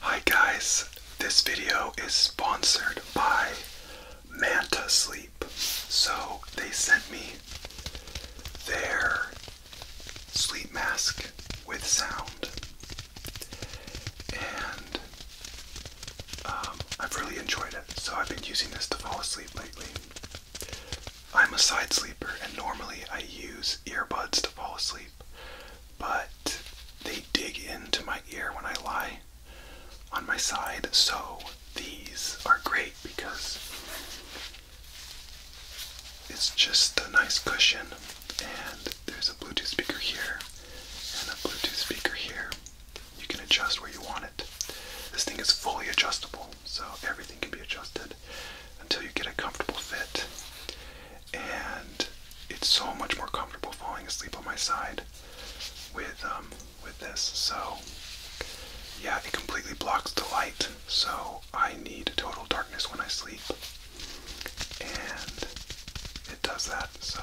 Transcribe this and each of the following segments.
Hi guys, this video is sponsored by Manta Sleep. So they sent me their sleep mask with sound, and um, I've really enjoyed it. So I've been using this to fall asleep lately. I'm a side sleeper, and normally I use earbuds to fall asleep but they dig into my ear when I lie on my side. So these are great because it's just a nice cushion. And there's a Bluetooth speaker here and a Bluetooth speaker here. You can adjust where you want it. This thing is fully adjustable, so everything can be adjusted until you get a comfortable fit. And it's so much more comfortable falling asleep on my side with um, with this. So yeah, it completely blocks the light. So I need total darkness when I sleep. And it does that. So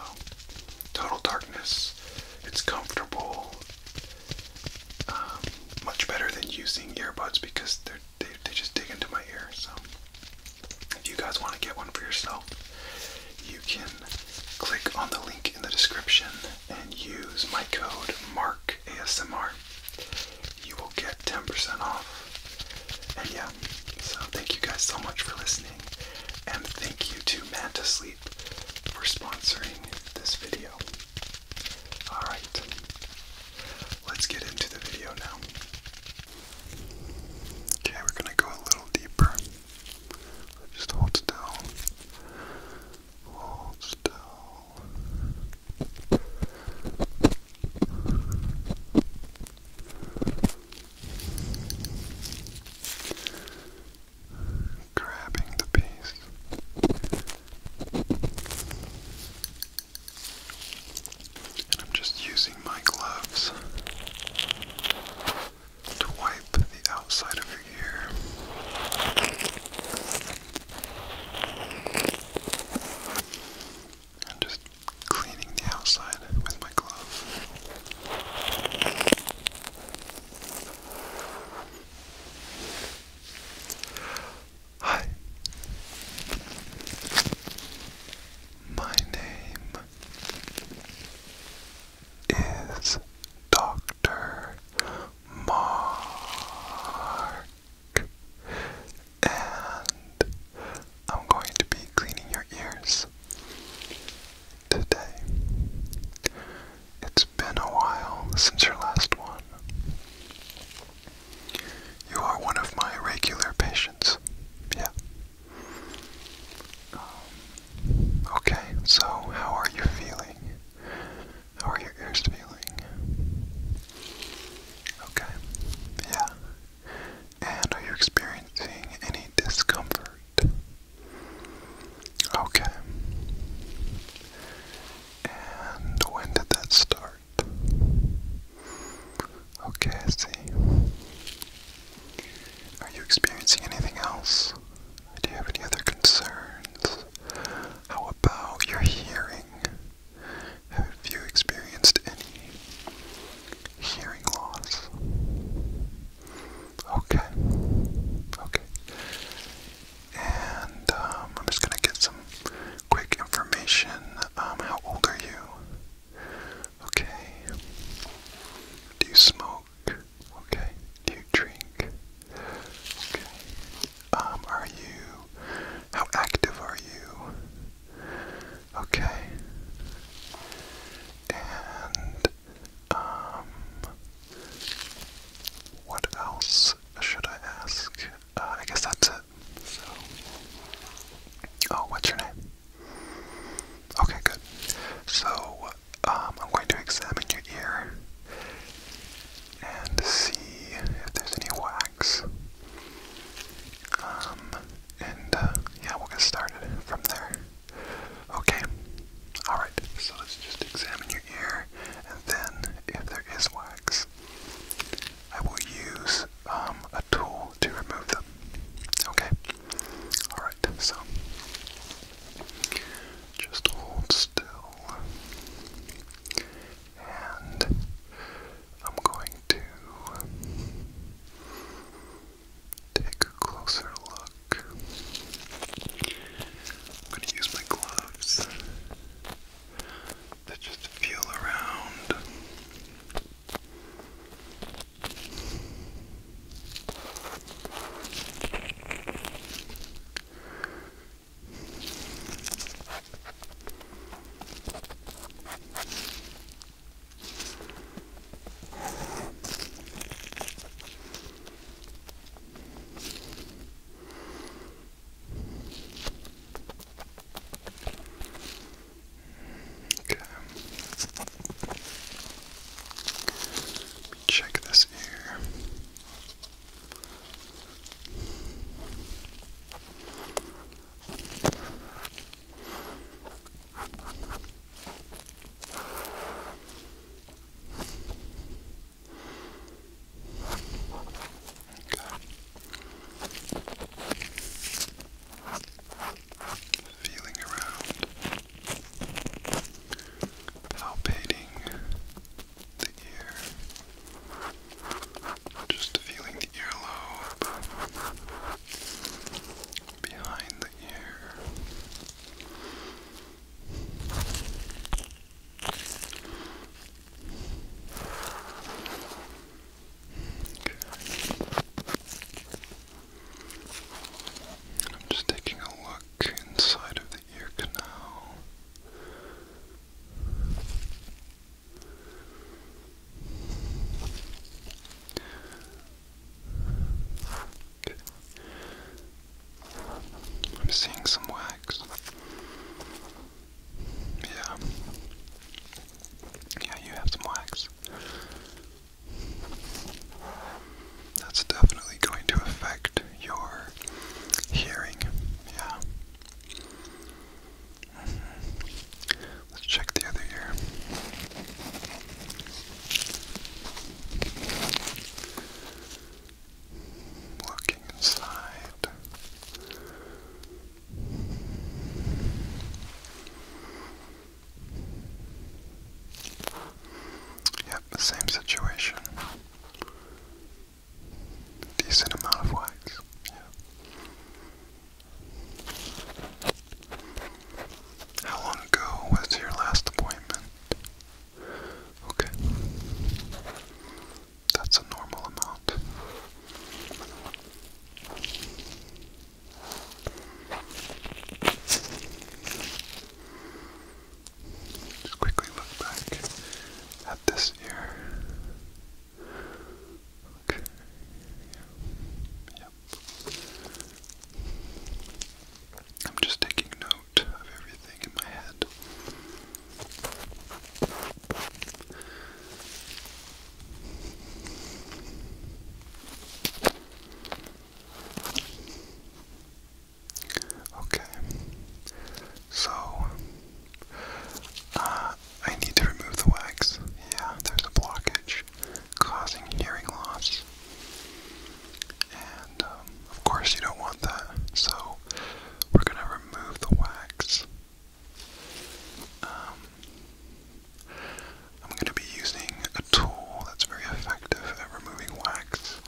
total darkness. It's comfortable. Um, much better than using earbuds because they're they, just dig into my ear. So, if you guys want to get one for yourself, you can click on the link in the description and use my code MarkASMR. You will get 10% off. And yeah, so thank you guys so much for listening. And thank you to Manta Sleep for sponsoring this video. Alright, let's get into the video now. Okay, we're gonna go a little deeper. Just hold still. Hold still. Grabbing the piece. I'm just using my gloves to wipe the outside of your ear. I'm just cleaning the outside with my glove. Hi. My name is Dr. Mark, and I'm going to be cleaning your ears today. It's been a while since your last one. You are one of my regular patients. Yeah. okay, so how are you feeling? How are your ears feeling? Okay, yeah. And are you experiencing any discomfort? Okay. And when did that start? Okay, I see. Are you experiencing anything else? Do you have any other concerns? How about your hearing? Have you experienced any hearing loss? Okay. Okay. And um, I'm just gonna get some quick information. Um, how old are you? Okay. Do you smoke? Okay. Do you drink? Okay. Um, are you. How active are you? Okay. And, um, what else should I ask? uh, I guess that's it. So, oh, what's your name? Okay, good. So, um, I'm going to examine your ear and see if there's any wax. Um, and uh, yeah, we'll get started from there. Okay. All right. So let's just examine your ear, and then if there is wax, I will use um, a tool to remove them. Okay? Alright, so just hold still. And I'm going to take a closer look. I'm going to use my gloves to just feel around. Okay. Let me check this ear. Feeling around, palpating the ear, just feeling the earlobe behind the ear. I'm just taking a look inside of the ear canal. I'm seeing some wax. Yeah. Yeah, you have some wax. That's definitely going to affect your hearing. Yeah. Mm-hmm. Let's check the other ear looking inside. Yep, same situation. Decent amount of wax. Yep. How long ago was your last appointment? Okay. That's a normal amount. Just quickly look back at this ear. Okay. Yep. I'm just taking Okay, so uh, I need to remove the wax. Yeah, there's a blockage causing hearing loss, and um, of course, you don't want that, so we're going to remove the wax. Um, I'm going to be using a tool that's very effective at removing wax.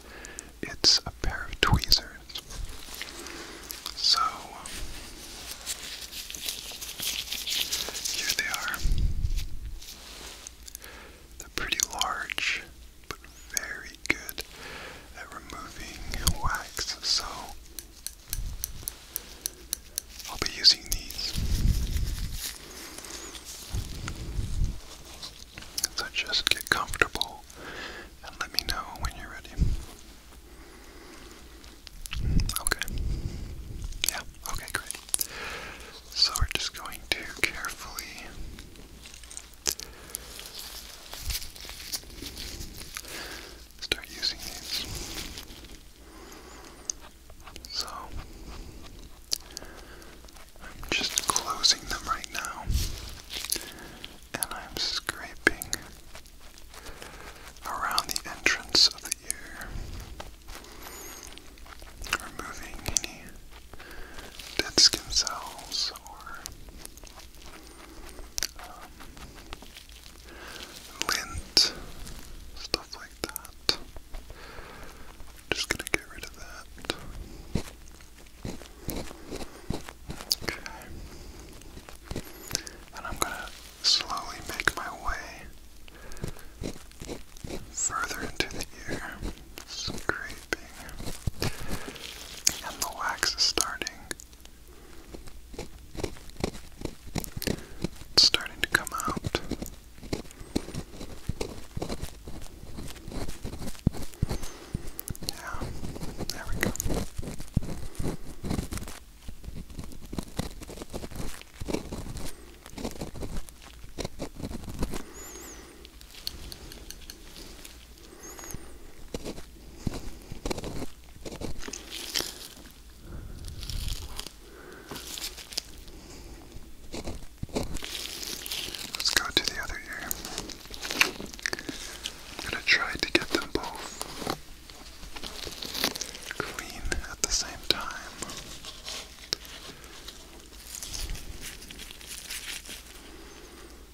It's a pair of tweezers. So, here they are. They're pretty large, but very good at removing wax, so I'll be using these. So just get comfortable and let me know when you're ready. Okay. Yeah, okay, great. So we're just going to carefully Start using these. So, I'm just closing them right now, and I'm scraping around the entrance of the ear, removing any dead skin cells or lint, um, stuff like that. Just gonna get rid of that. Okay. And I'm gonna slowly make my way further into the ear some creeping. And the wax is starting. It's starting to come out. Yeah, there we go. Let's go to the other ear. going to try to get them both clean at the same time.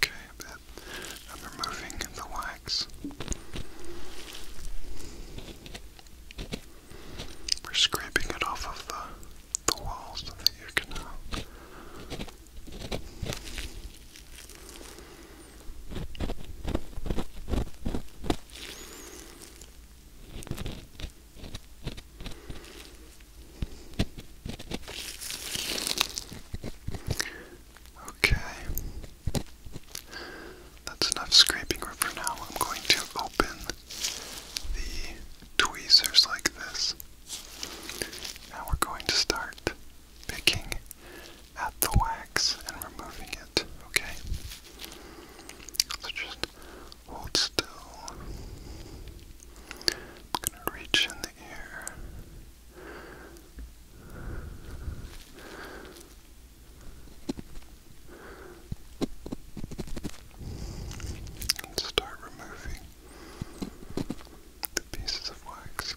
Okay, I'm removing the wax. We're scraping it off of the, the walls of the ear canal. Okay. That's enough scraping for now. I'm going to open the tweezers like this. Now we're going to start picking at the wax and removing it, okay? So just hold still. I'm going to reach in the air. start removing the pieces of wax.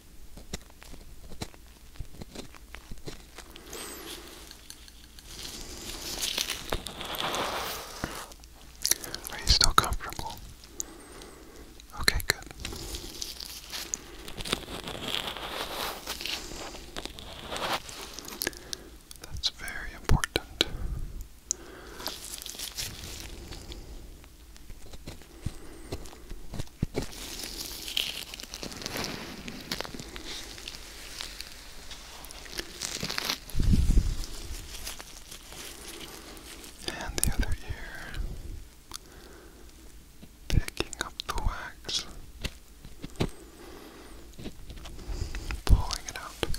Are you still comfortable? Okay, good. That's very important. And the other ear, picking up the wax, pulling it out.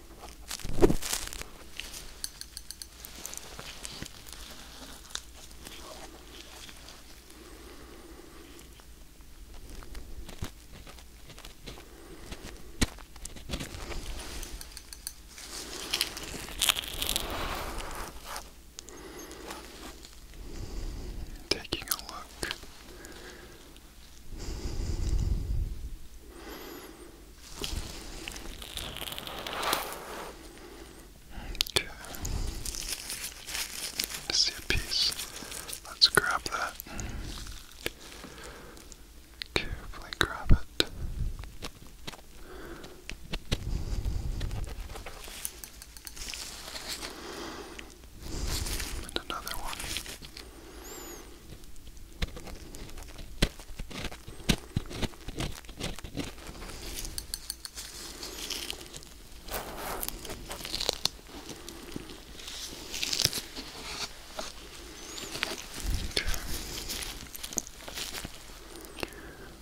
Taking a look Okay. see a piece. Let's grab that. Carefully grab it. And another one.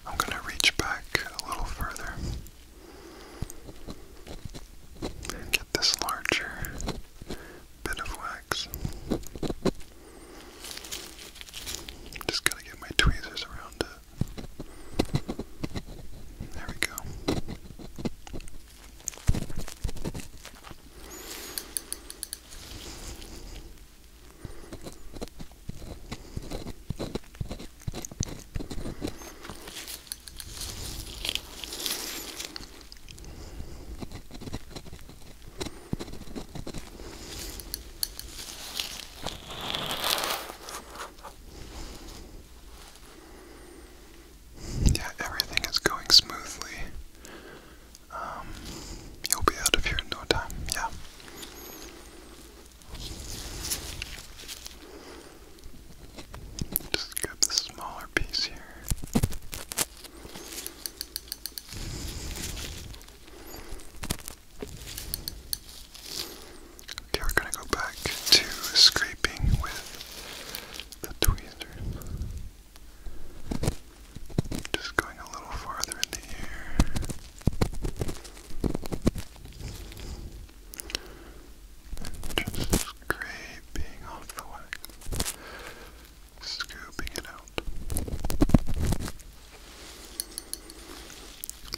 I'm going to reach back a little further get this larger bit of wax. Just gotta get my tweezers around it. There we go. Yeah, everything is going smoothly. Um, you'll be out of here in no time, yeah. Just grab the smaller piece here. Okay, we're going to go back to scraping with the tweezers. Just going a little farther in the ear. just scraping off the wax scooping it out,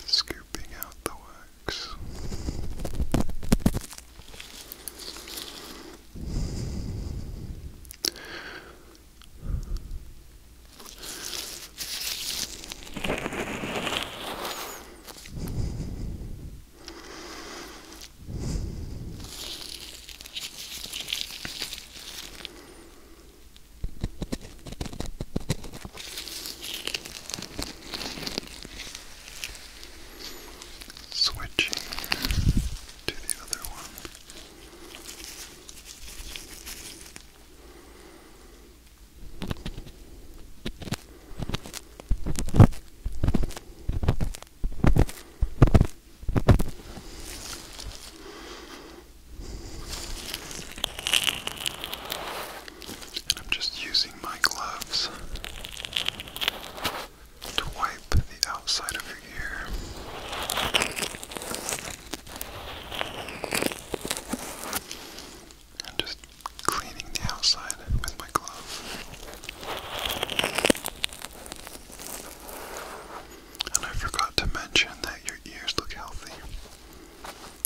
scooping out the works. Switching to the other one. I'm just using my gloves to wipe the outside of your ear. I'm just cleaning the outside with my glove. And I forgot to mention that your ears look healthy.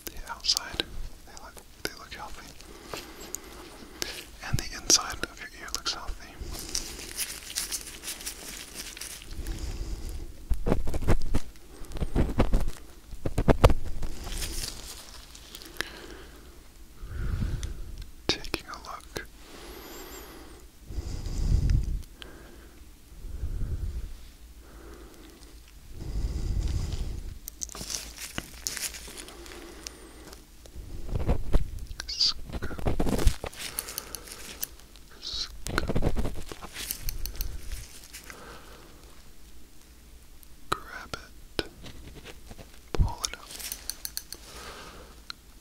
The outside, they look they look healthy. And the inside of your ear looks healthy taking a look grab it pull it up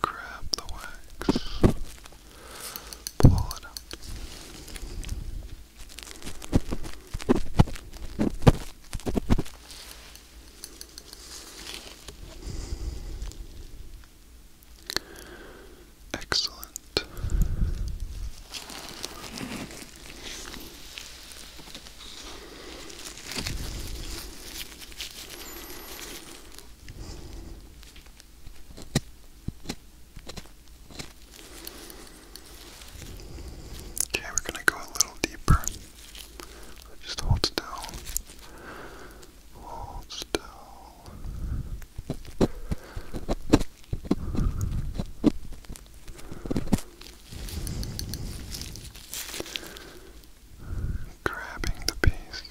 grab the wax, pull it Excellent. Okay, we're going to go a little deeper. Just hold still. Hold still grabbing the piece.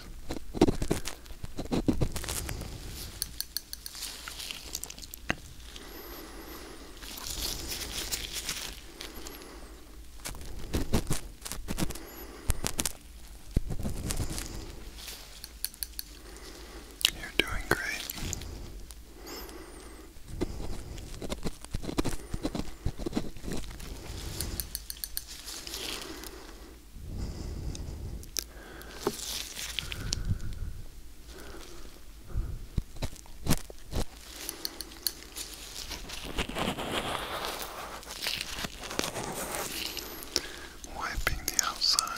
You're doing great. Wiping the outside.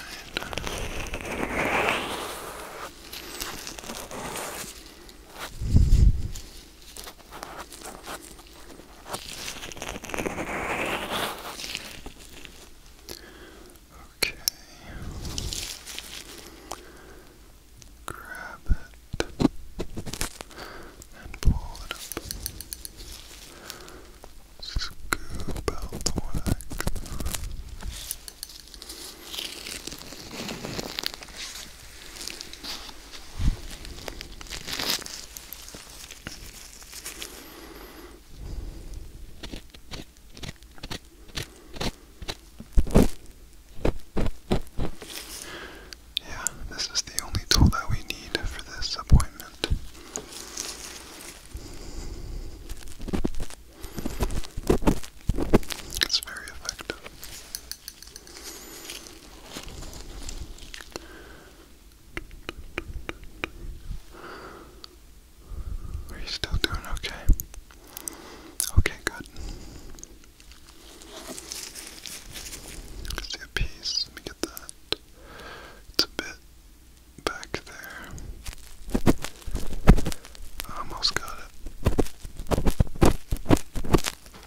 Okay. Grab it and pull it up. Scoop out the wax. Yeah, this is the only tool that we need for this appointment. It's very effective. Are you still doing okay? Okay, good. I see piece. Let me get that. It's bit back there. almost got it.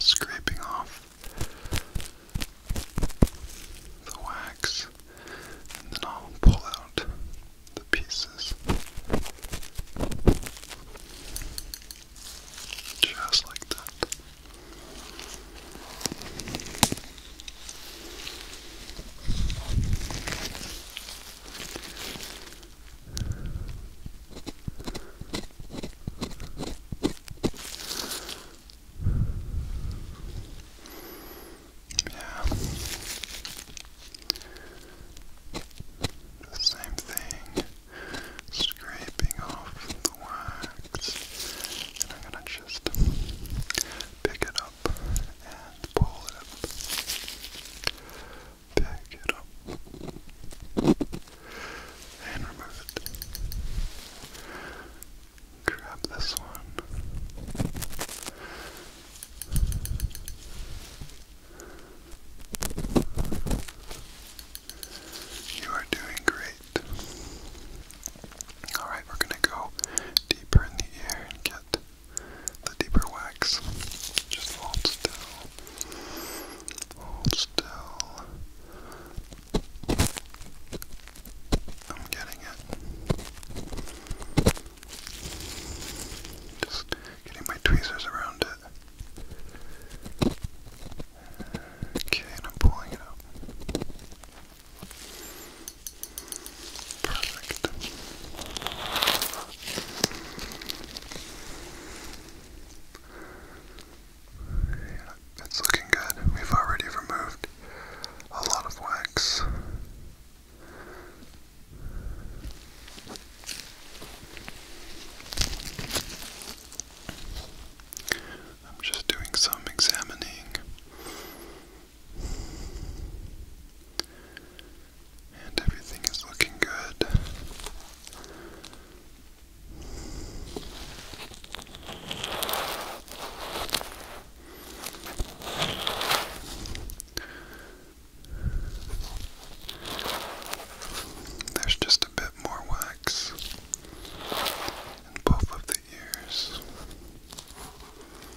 scraping off the wax and then I'll pull out the pieces just like that. Yeah. The same thing. Scraping off the wax. And I'm gonna just pick it up and pull it pick it up and remove it. Grab this one. You are doing great. Alright, we're going to go deeper in the ear and get the deeper wax. Just hold still. Hold still. I'm getting it. Just getting my tweezers around it. Okay, and I'm pulling it out. Perfect. Yeah, it's looking good. We've already removed a lot of wax. I'm just doing some examining and everything is looking good. There's just a bit more wax in both of the ears.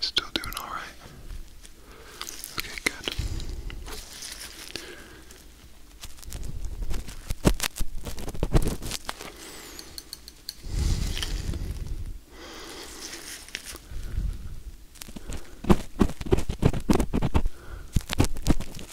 Still doing all right. Okay, good.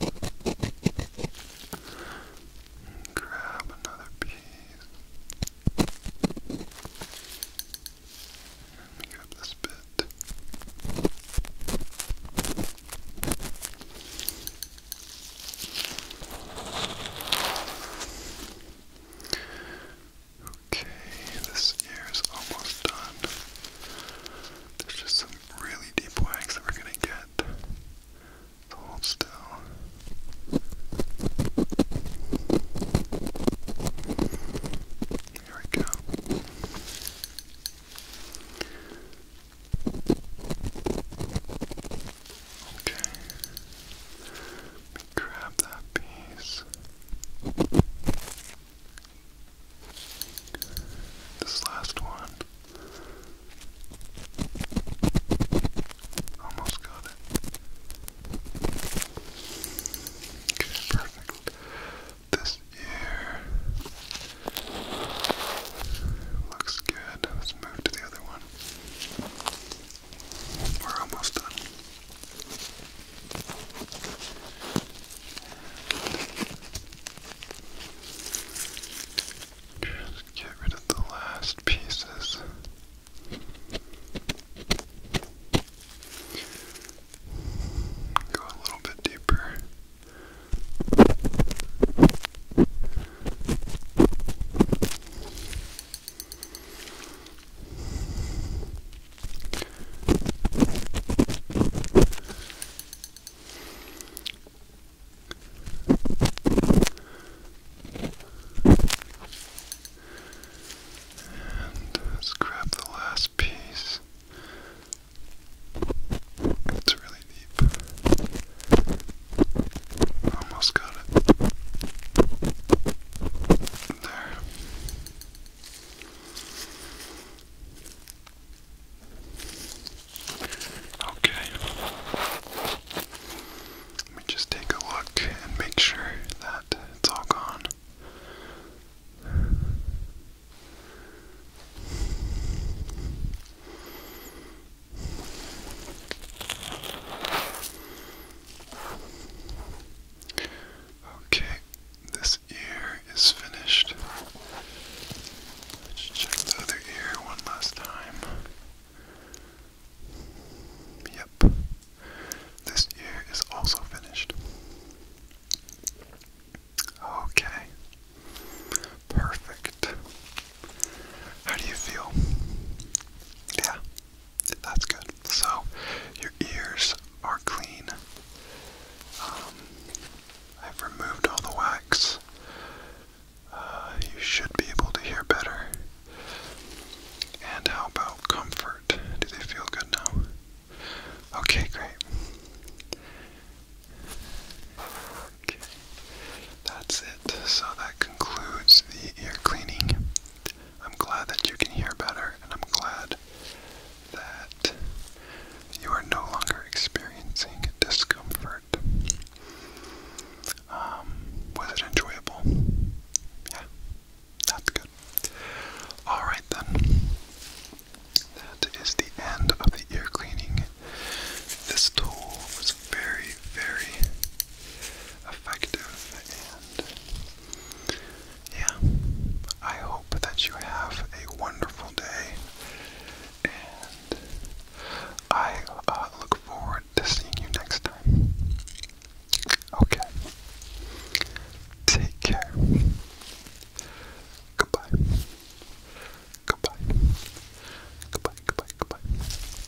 And grab another piece. Let me grab this bit. Okay, this ear is almost done. There's just some really deep wax that we're gonna get. hold still. Here we go. Okay grab that piece. This last one. Almost got it. perfect. This ear looks good. Let's move to the other one. We're almost done. Just get rid of the last pieces. Go a little bit deeper. And let's grab the last piece. It's really deep. Almost got it. Okay. Let me just take a look and make sure that it's all gone. Okay, this ear is finished. Let's check the other ear one last time. Yep, this ear is also finished. Okay, perfect. How do you feel? Yeah, that's good. So your ears are clean. Um, I've removed all the wax. Uh, you should be able to hear better. And how about comfort? Do they feel good now? Okay, great. Okay, that's it. So that concludes the ear cleaning. I'm glad that you can hear better, and I'm glad that you are no longer experiencing discomfort. Um, was it enjoyable? Yeah, that's good. Alright then, that is the end of the ear cleaning. This tool was very, very effective and yeah, I hope that you have a wonderful day. And I uh, look forward to seeing you next time. Okay. Take care. Goodbye. Goodbye. Goodbye, goodbye, goodbye.